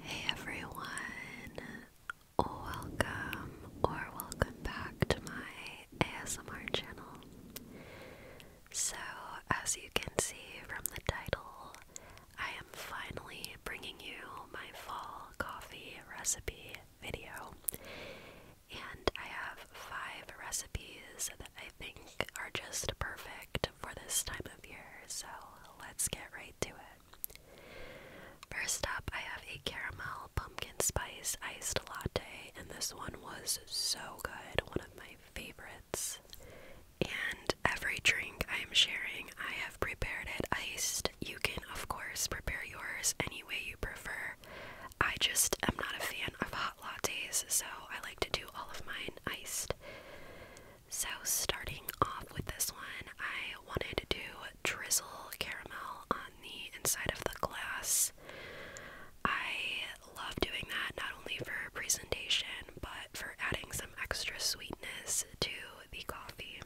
Hey everyone, welcome or welcome back to my ASMR channel. So, as you can see from the title, I am finally bringing you my fall coffee recipe video. And I have five recipes that I think are just perfect for this time of year, so let's get right to it. First up, I have a caramel pumpkin spice iced latte, and this one was so good, one of my favorites. And every drink I am sharing I have prepared it iced. You can, of course, prepare yours any way you prefer. I just am not a fan of hot lattes, so I like to do all of mine iced. So, starting off with this one, I wanted to drizzle caramel on the inside of the glass. I love doing that not only for presentation but for adding some extra sweetness to the coffee.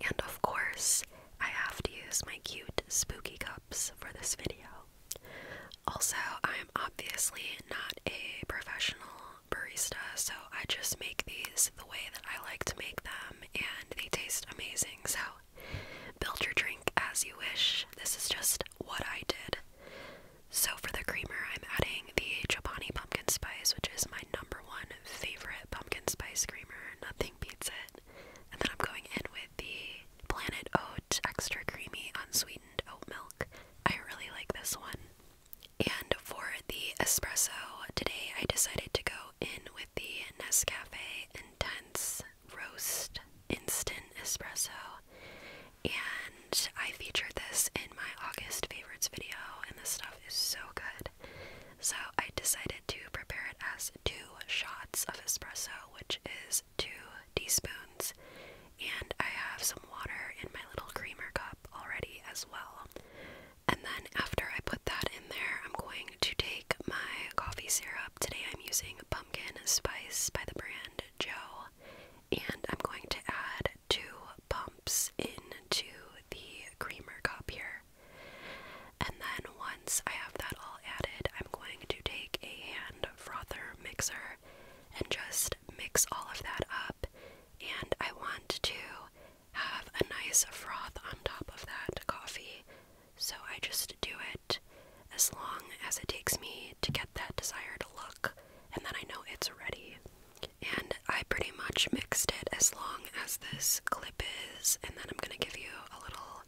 And of course, I have to use my cute spooky cups for this video. Also, I am obviously not a professional barista, so I just make these the way that I like to make them, and they taste amazing. So, build your drink as you wish. This is just what I did. So, for the creamer, I'm adding the Chobani pumpkin spice, which is my number one favorite pumpkin spice creamer. Nothing beats it. And then I'm going in with the Planet Oat Extra Creamy Unsweetened Oat Milk. I really like this one. And for the espresso, today I decided to go in with the Nescafe Intense Roast Instant Espresso. And I featured this in my August favorites video, and this stuff is so good. So I decided to prepare it as two shots of espresso, which is two teaspoons, and I have some water in my little creamer cup already as well. And then after I put that in there, I'm going to take my coffee syrup. Today I'm using pumpkin spice by the brand Joe, and I'm going to add two. Palm into the creamer cup here. And then once I have that all added, I'm going to take a hand frother mixer and just mix all of that up. And I want to have a nice froth on top of that coffee. So I just do it as long as it takes me to get that desired look, and then I know it's ready. And I pretty much mixed it as long as this clip is, and then I'm going to give you a little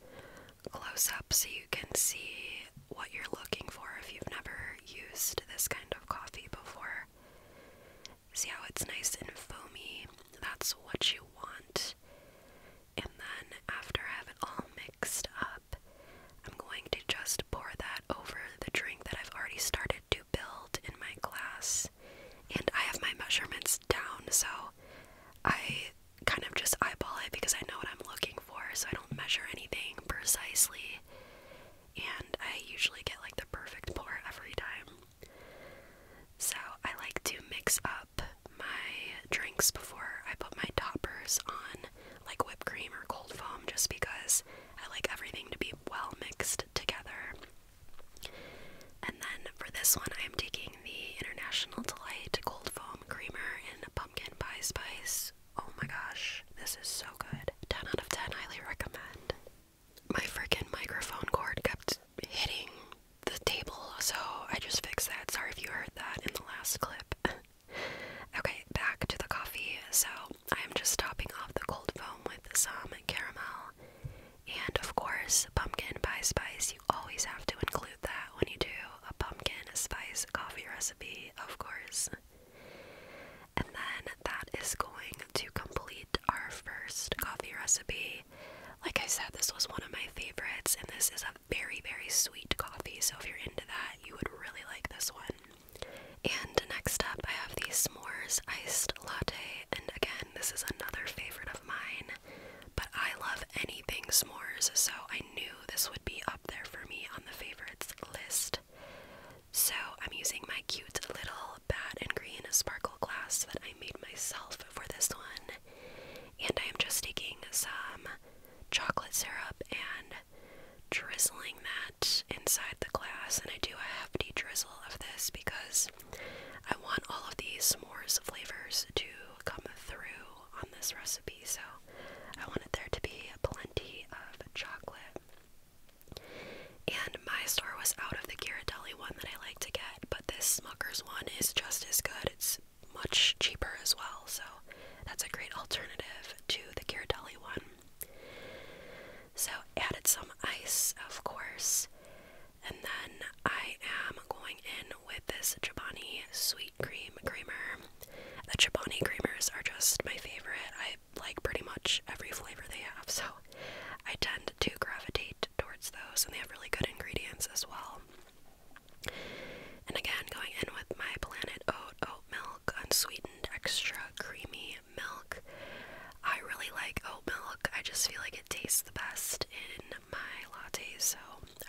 close up so you can see what you're looking for if you've never used this kind of coffee before. See how it's nice and foamy? That's what you want. And then after I have it all mixed up, I'm going to just pour that over the drink that I've already started to build in my class, and I have my measurements down, so I kind of just eyeball it because I know what I'm looking for, so I don't measure anything precisely, and I usually get like the perfect pour every time. So I like to mix up my drinks before I put my toppers on, like whipped cream or cold foam, just because I like everything to be well mixed together. And then for this one, I am taking the International Delight Gold Foam Creamer in Pumpkin Pie Spice. Oh my gosh, this is so good. 10 out of 10, highly recommend. My freaking microphone cord kept hitting the table, so I just fixed that. Sorry if you heard that in the last clip. okay, back to the coffee. So I am just topping off the cold foam with some caramel. And of course, pumpkin pie spice. You always have to include that when you do a pumpkin spice coffee recipe, of course. And then that is going to complete our first coffee recipe. Like I said, this was one of my favorites, and this is a very, very sweet coffee. So if you're into that, you would really like this one. And next up, I have the S'mores Iced Latte. And again, this is another favorite of mine. But I love anything s'mores, so I knew this would be up there for me on the favorites list. So I'm using my cute little bat and green sparkle glass that I made myself for this one. And I am just taking some chocolate syrup and drizzling that inside the glass. And I do a hefty drizzle of this because I want all of these s'mores flavors to come through on this recipe. So I wanted there to be plenty of chocolate. And my store was out of the Ghirardelli one that I like to get, but this Smucker's one is just as good. It's much cheaper as well, so that's a great alternative to the Ghirardelli one. So, added some ice, of course. And then I am going in with this Chobani Sweet Cream Creamer. The Chobani creamers are just my favorite. I like pretty much every flavor they have, so I tend to gravitate towards those, and they have really good ingredients as well. And again, going in with my Planet Oat Oat Milk Unsweetened Extra Creamy milk. I really like oat milk. I just feel like it tastes the best in my lattes, so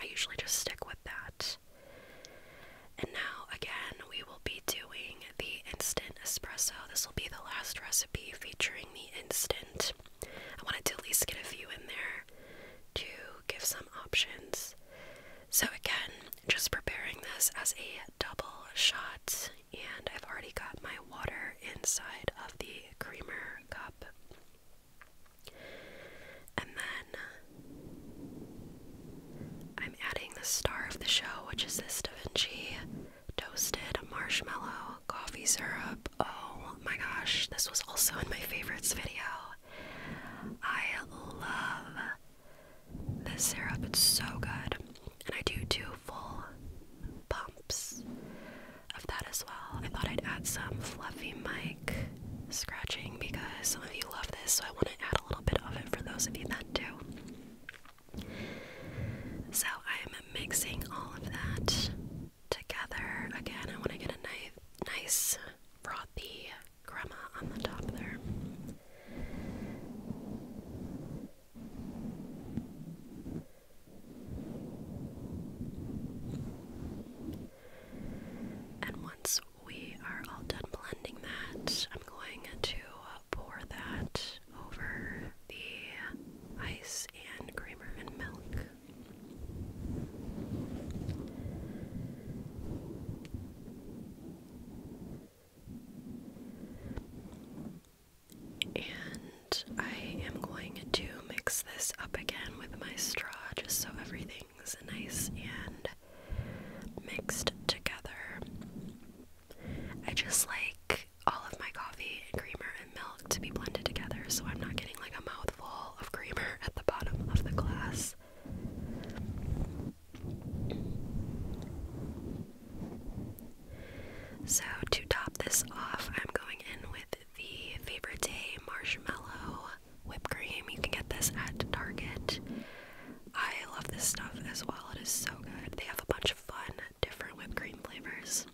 I usually just stick with that. And now, again, we will be doing the instant espresso. This will be the last recipe featuring the instant. I wanted to at least get a few in there to give some options. So, again, just preparing this as a double shot and I've already got my water inside of the creamer cup. And then uh, I'm adding the star of the show, which is this Da toasted marshmallow coffee syrup. Oh my gosh, this was also in my favorites video. I love this syrup, it's so good. And I do too beautiful bumps of that as well. I thought I'd add some fluffy mic scratching because some of you love this, so I want to add a little bit of it for those of you that do. So I'm mixing all of that together. Again, I want to get a nice, nice frothy crema on the top there. And once we are all done blending that, I'm going to uh, pour that over the ice and creamer and milk. And I am going to mix this up again with my straw just so everything's nice and mixed together. I just like all of my coffee creamer and milk to be blended together so I'm not getting like a mouthful of creamer at the bottom of the glass. So, to top this off, I'm going in with the Favorite Day Marshmallow Whipped Cream. You can get this at Target. I love this stuff as well, it is so good. They have a bunch of fun, different whipped cream flavors.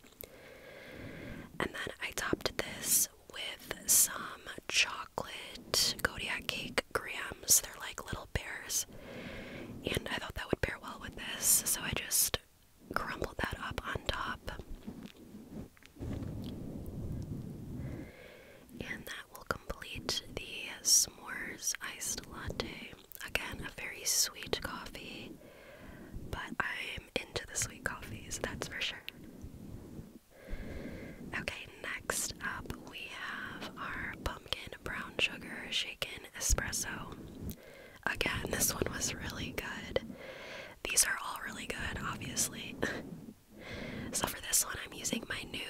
And then I topped this with some chocolate Kodiak cake grams. They're like little bears and I thought that would pair well with this, so I just crumbled that up on top. And that will complete the s'mores iced latte. Again, a very sweet coffee, but I'm into the sweet coffees, that's for sure. Okay, next up we have our pumpkin brown sugar shaken espresso. Again, this one was really good. These are all really good, obviously. so for this one, I'm using my new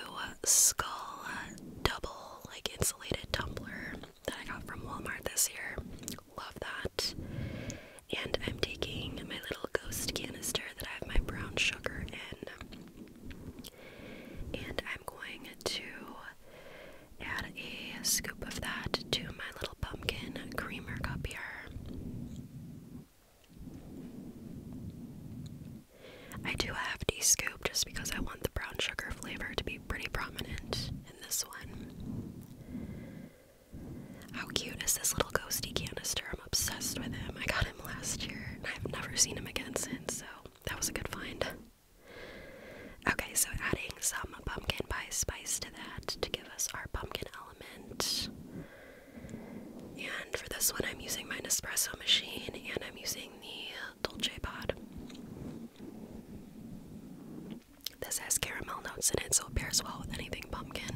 Skull uh, Double like insulated tumbler that I got from Walmart this year. Love that. And I'm taking my little ghost canister that I have my brown sugar in. And I'm going to add a scoop of that to my little pumpkin creamer cup here. I do have to scoop just because I want the brown sugar flavor to be pretty prominent in this one. How cute is this little ghosty canister? I'm obsessed with him. I got him last year and I've never seen him again since, so that was a good find. Okay, so adding some pumpkin pie spice to that to give us our pumpkin element. And for this one, I'm using my Nespresso machine and I'm using the Dolce Pod. This has caramel notes in it, so it pairs well with anything pumpkin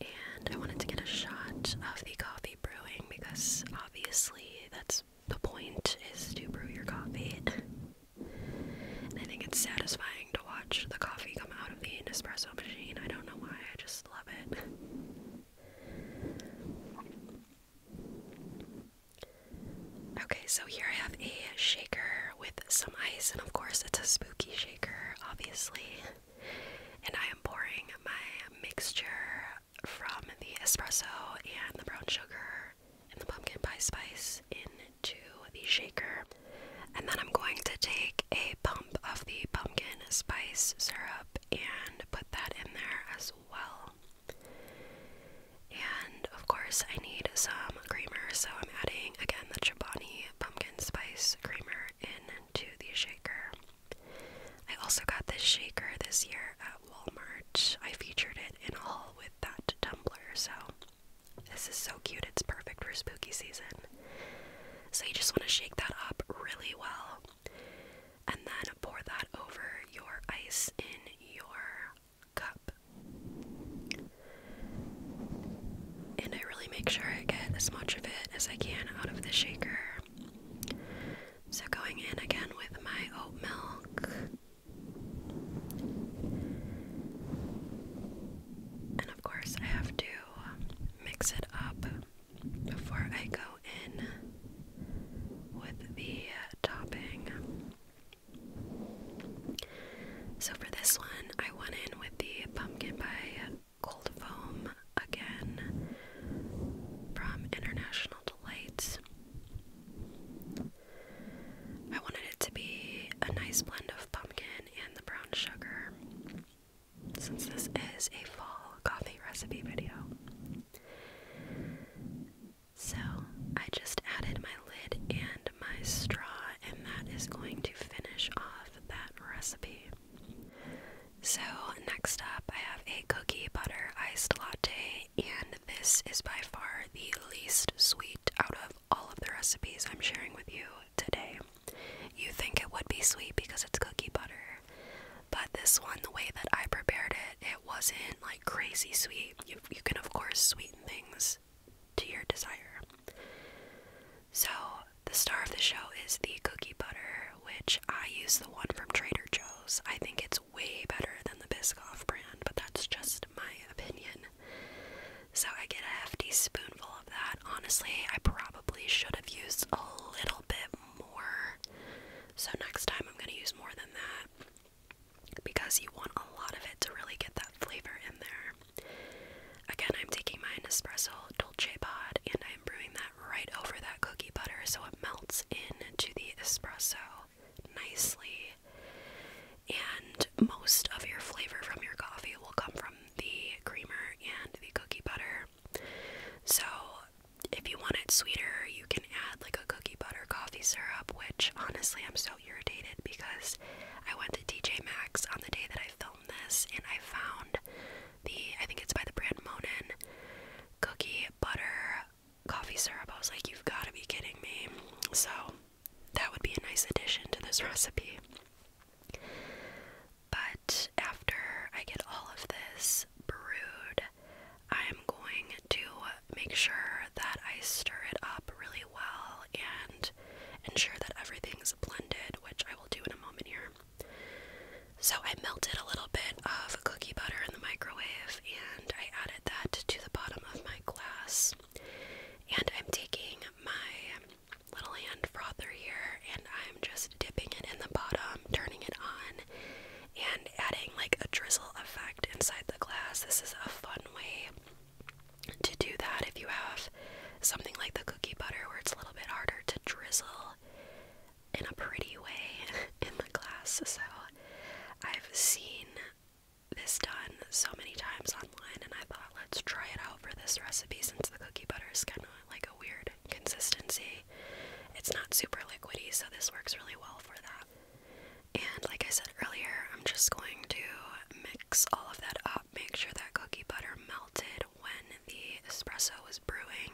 and I wanted to get a shot of the coffee brewing because obviously that's the point is to brew your coffee. I think it's satisfying to watch the coffee come out of the Nespresso machine. I don't know why, I just love it. Okay, so here I have a shaker with some ice, and of course, it's a spooky shaker, obviously. And I am pouring my mixture from the espresso and the brown sugar and the pumpkin pie spice into the shaker. And then I'm going to take a pump of the pumpkin spice syrup and put that in there as well. And of course, I need some creamer, so I'm adding again the Chobani pumpkin spice creamer into the shaker. I also got this shaker this year at Walmart. I featured it in a haul with that tumbler, so this is so cute. It's perfect for spooky season. So you just want to shake that up really well and then pour that over your ice in your cup. And I really make sure I get as much of it as I can out of the shaker. So, going in again with my oat milk. And of course, I have to mix it up before I go in with the topping. So, for this one, I went in with the pumpkin pie cold foam again from International Delights. I wanted it to be a nice blend of pumpkin and the brown sugar since this is a fall coffee recipe video. So I just added my lid and my straw, and that is going to finish off that recipe. So, next up, I have a cookie butter iced latte, and this is by far the least sweet out of all of the recipes I'm sharing with you today. You think it would be sweet because it's cookie butter, but this one, the way that I prepared it, it wasn't like crazy sweet. You, you can, of course, sweeten things to your desire. So, the star of the show is the cookie butter, which I use the one from Trader Joe's. I think it's way better than the Biscoff brand, but that's just my opinion. So, I get a hefty spoonful of that. Honestly, I probably should have used a little bit more. So, next time I'm going to use more than that because you want a lot of it to really get that flavor in there. Again, I'm taking my Nespresso Dolce Pod and I. I am brewing that right over that cookie butter so it melts into the espresso nicely. And most of your flavor from your coffee will come from the creamer and the cookie butter. So, if you want it sweeter, you can add like a cookie butter coffee syrup, which honestly, I'm so irritated because I went to TJ Maxx on the day that I filmed this, and I found the I think it's by the brand Monin cookie butter coffee syrup. I was like, you've got to be kidding me! So that would be a nice addition to this recipe. But after I get all of this brewed, I'm going to make sure that I stir it up really well and ensure that everything is blended, which I will do in a moment here. So I melted a little bit of cookie butter in the microwave and I added that to the bottom of my glass. And I'm taking my little hand frother here and I'm just dipping it in the bottom, turning it on, and adding like a drizzle effect inside the glass. This is a fun way to do that if you have something like the cookie butter where it's a little bit harder to drizzle in a pretty way in the glass. So I've seen this done so many times online, and I thought let's try it out for this recipe since the cookie butter is kind of like a weird consistency. It's not super liquidy, so this works really well for that. And like I said earlier, I'm just going to mix all of that up, make sure that cookie butter melted when the espresso was brewing,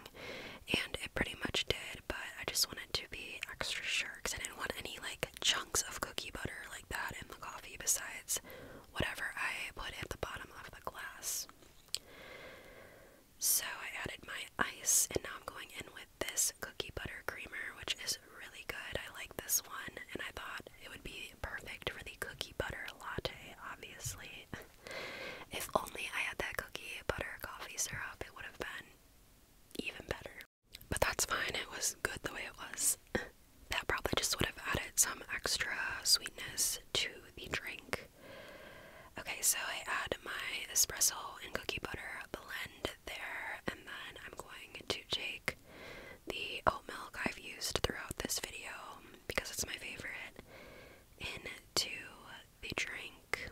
and it pretty much did, but I just wanted to be extra sure because I didn't want any like chunks of cookie butter like that in the coffee besides whatever I put at the bottom of the glass. So I added my ice, and now I'm going in with this cookie butter creamer, which is really good. I like this one, and I thought it would be perfect for the cookie butter latte, obviously. If only I had that cookie butter coffee syrup, it would have been even better. But that's fine, it was good the way it was. that probably just would have added some extra sweetness to the drink. Okay, so I add my espresso and cookie butter blend there, and then I'm going to take the oat milk I've used throughout this video because it's my favorite, into the drink.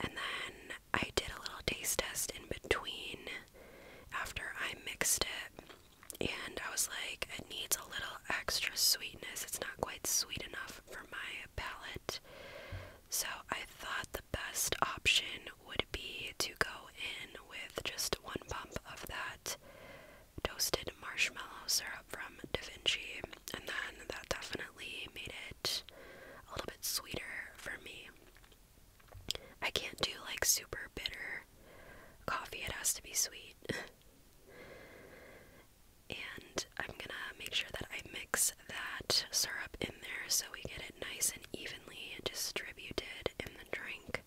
And then I did a little taste test in between after I mixed it. And I was like, it needs a little extra sweetness. It's not quite sweet enough for my palate. So I thought the best option would be to go in with just one pump of that toasted marshmallow syrup from Da Vinci, and then that definitely made it a little bit sweeter for me. I can't do like super bitter coffee, it has to be sweet. and I'm gonna make sure that I mix that syrup in there so we get it nice and evenly distributed in the drink.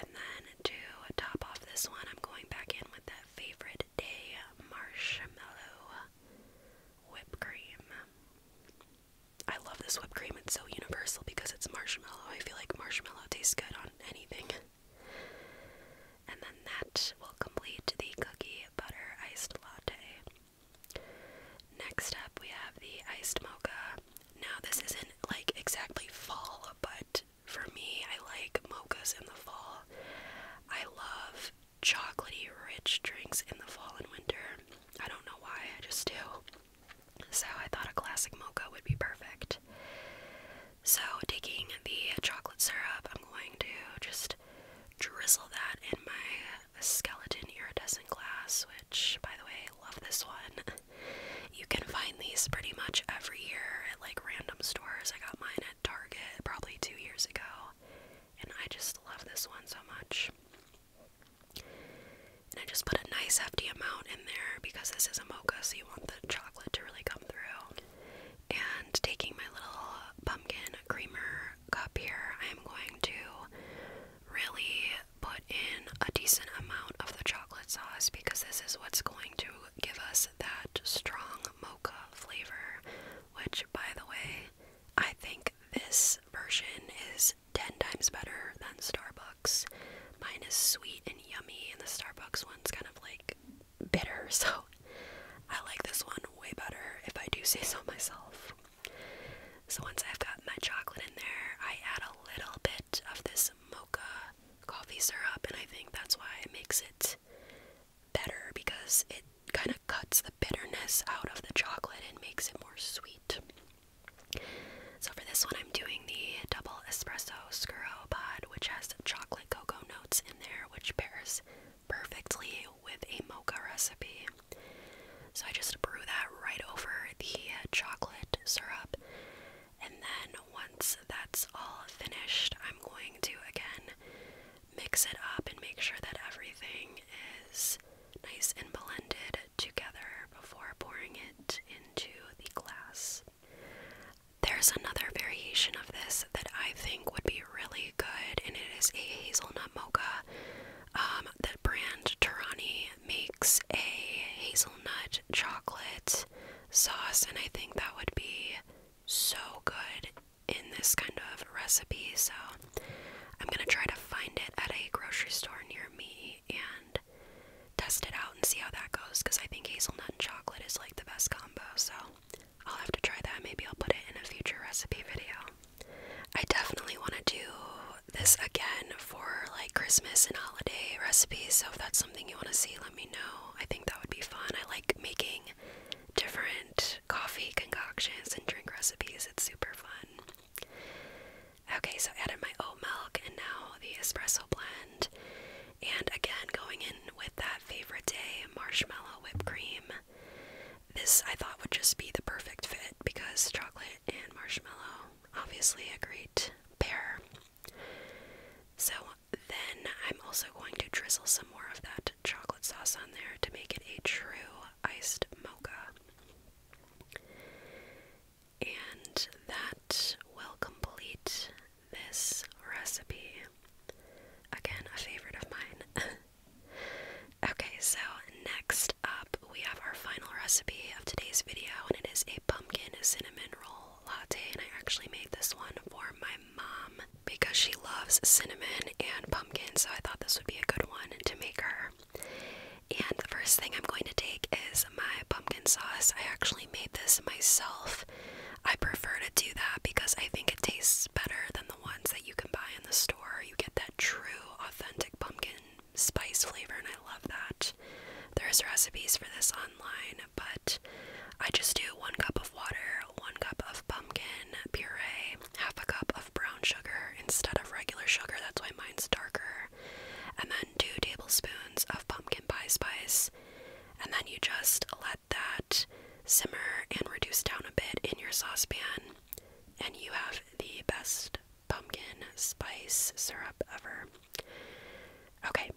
And then to top off this one, I'm going back in with that favorite day marshmallow whipped cream. I love this whipped cream, it's so universal because it's marshmallow. I feel like marshmallow tastes good on anything. And then that will complete the cookie butter iced latte. Next up, we have the iced mocha. Now, this isn't like exactly fall, but for me, I like mochas in the fall. I love chocolatey rich drinks in the fall and winter. I don't know why, I just do. So I thought a classic mocha would be perfect. So, taking the chocolate syrup, I'm going to just drizzle that in my skeleton iridescent glass, which, by the way, love this one. You can find these pretty much every year like random stores. I got mine at Target probably two years ago, and I just love this one so much. And I just put a nice hefty amount in there because this is a mocha, so you want the chocolate to really come through. And taking my little pumpkin creamer cup here, I am going to really put in a decent amount of the chocolate sauce because this is what's going to give us that strong mocha flavor, which, by the way, I think this version is 10 times better than Starbucks. Mine is sweet and yummy, and the Starbucks one's kind of like bitter, so I like this one way better if I do say so myself. So once I've got my chocolate in there, I add a little bit of this mocha coffee syrup, and I think that's why it makes it better because it kind of cuts the bitterness out of the chocolate and makes it more sweet. So, for this one, I'm doing the double espresso scuro pod, which has chocolate cocoa notes in there, which pairs perfectly with a mocha recipe. So, I just brew that right over the chocolate syrup and then once that's all finished, I'm going to again mix it up and make sure that everything is nice and blended together before pouring it into the glass. There's another variation of this that I think would be really good, and it is a hazelnut mocha. Um, the brand Tarani makes a hazelnut chocolate sauce, and I think that would be so good in this kind of recipe. So I'm gonna try to find it at a grocery store near me and test it out and see how that goes because I think hazelnut and chocolate is like the best combo. So I'll have to try that. Maybe I'll put it in a future recipe video. I definitely want to do this again for like Christmas and holiday recipes. So if that's something you want to see, let me know. I think that would be fun. I like making different coffee concoctions and drink recipes, it's super fun. Okay, so I added my oat milk and now the espresso blend. And again, going in with that favorite day marshmallow whipped cream. This I thought would just be the perfect fit because chocolate and marshmallow, obviously a great pair. So then I'm also going to drizzle some more of that chocolate sauce on there to make it a true iced mocha. And that will complete this recipe. Again, a favorite of mine. okay, so next up we have our final recipe of today's video, and it is a pumpkin cinnamon roll latte, and I actually made this one for my mom because she loves cinnamon and pumpkin, so I thought this would be a good one to make her. And the first thing I'm going to take is my pumpkin sauce. I actually made this myself. I prefer to do that because I think it tastes better than the ones that you can buy in the store. You get that true, authentic pumpkin spice flavor, and I love that. There's recipes for this on but I just do one cup of water, one cup of pumpkin puree, half a cup of brown sugar instead of regular sugar. That's why mine's darker. And then two tablespoons of pumpkin pie spice. And then you just let that simmer and reduce down a bit in your saucepan. And you have the best pumpkin spice syrup ever. Okay,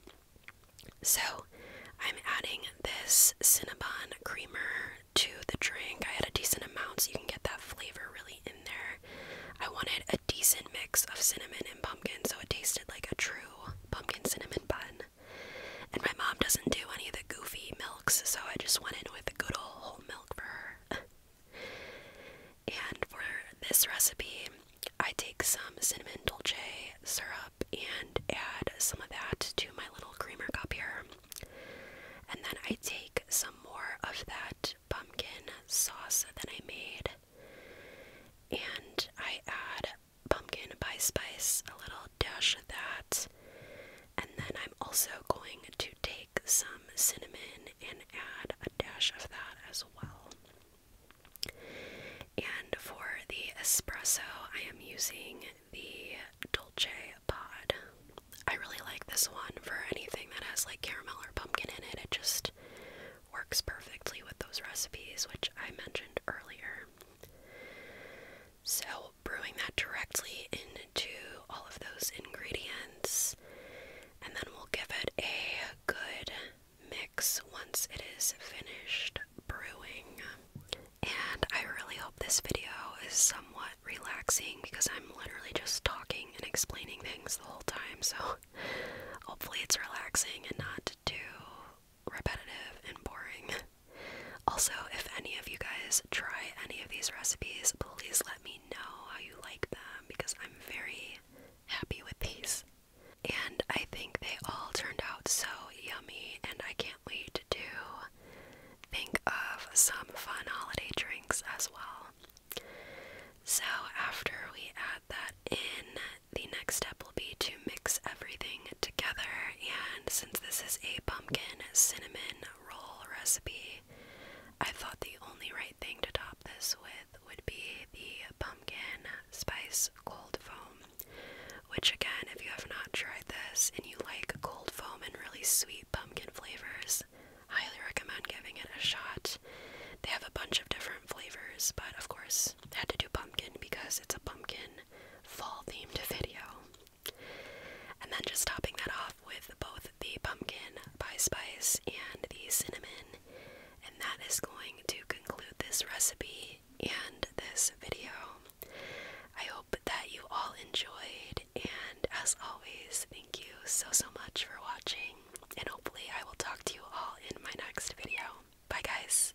so I'm adding this Cinnabon creamer to the drink. I had a decent amount so you can get that flavor really in there. I wanted a decent mix of cinnamon and pumpkin so it tasted like a true pumpkin cinnamon bun. And my mom doesn't do any of the goofy milks, so I just went in with the good old whole milk for her. and for this recipe, I take some cinnamon dulce syrup and add some of that to my little creamer cup here. And then I take some more of that pumpkin sauce that I made and I add pumpkin pie spice, a little dash of that. And then I'm also going to take some cinnamon and add a dash of that as well. And for the espresso, I am using the Dolce Pod. I really like this one for anything that has like caramel or pumpkin in it. It just works perfectly with those recipes, which I mentioned earlier. So, brewing that directly into all of those ingredients, and then we'll give it a good mix once it is finished brewing. And I really hope this video is somewhat relaxing because I'm literally just talking and explaining things the whole time. So hopefully it's relaxing and not too repetitive and boring. Also, if any of you guys try any of these recipes, please let me know how you like them because I'm very happy with these. And I think they all turned out so yummy, and I can't wait to think of some fun holiday drinks as well. So, after we add that in, the next step will be to mix everything together. And since this is a pumpkin cinnamon roll recipe, I thought the only right thing to top this with would be the pumpkin spice cold foam, which, again, if you have not tried this and you like cold foam and really sweet pumpkin flavors, highly recommend giving it a shot. They have a bunch of different flavors, but of course, I had to do pumpkin because it's a pumpkin fall themed video. And then just topping that off with both the pumpkin pie spice and the cinnamon and that is going to conclude this recipe and this video. I hope that you all enjoyed, and as always, thank you so so much for watching. And hopefully, I will talk to you all in my next video. Bye, guys.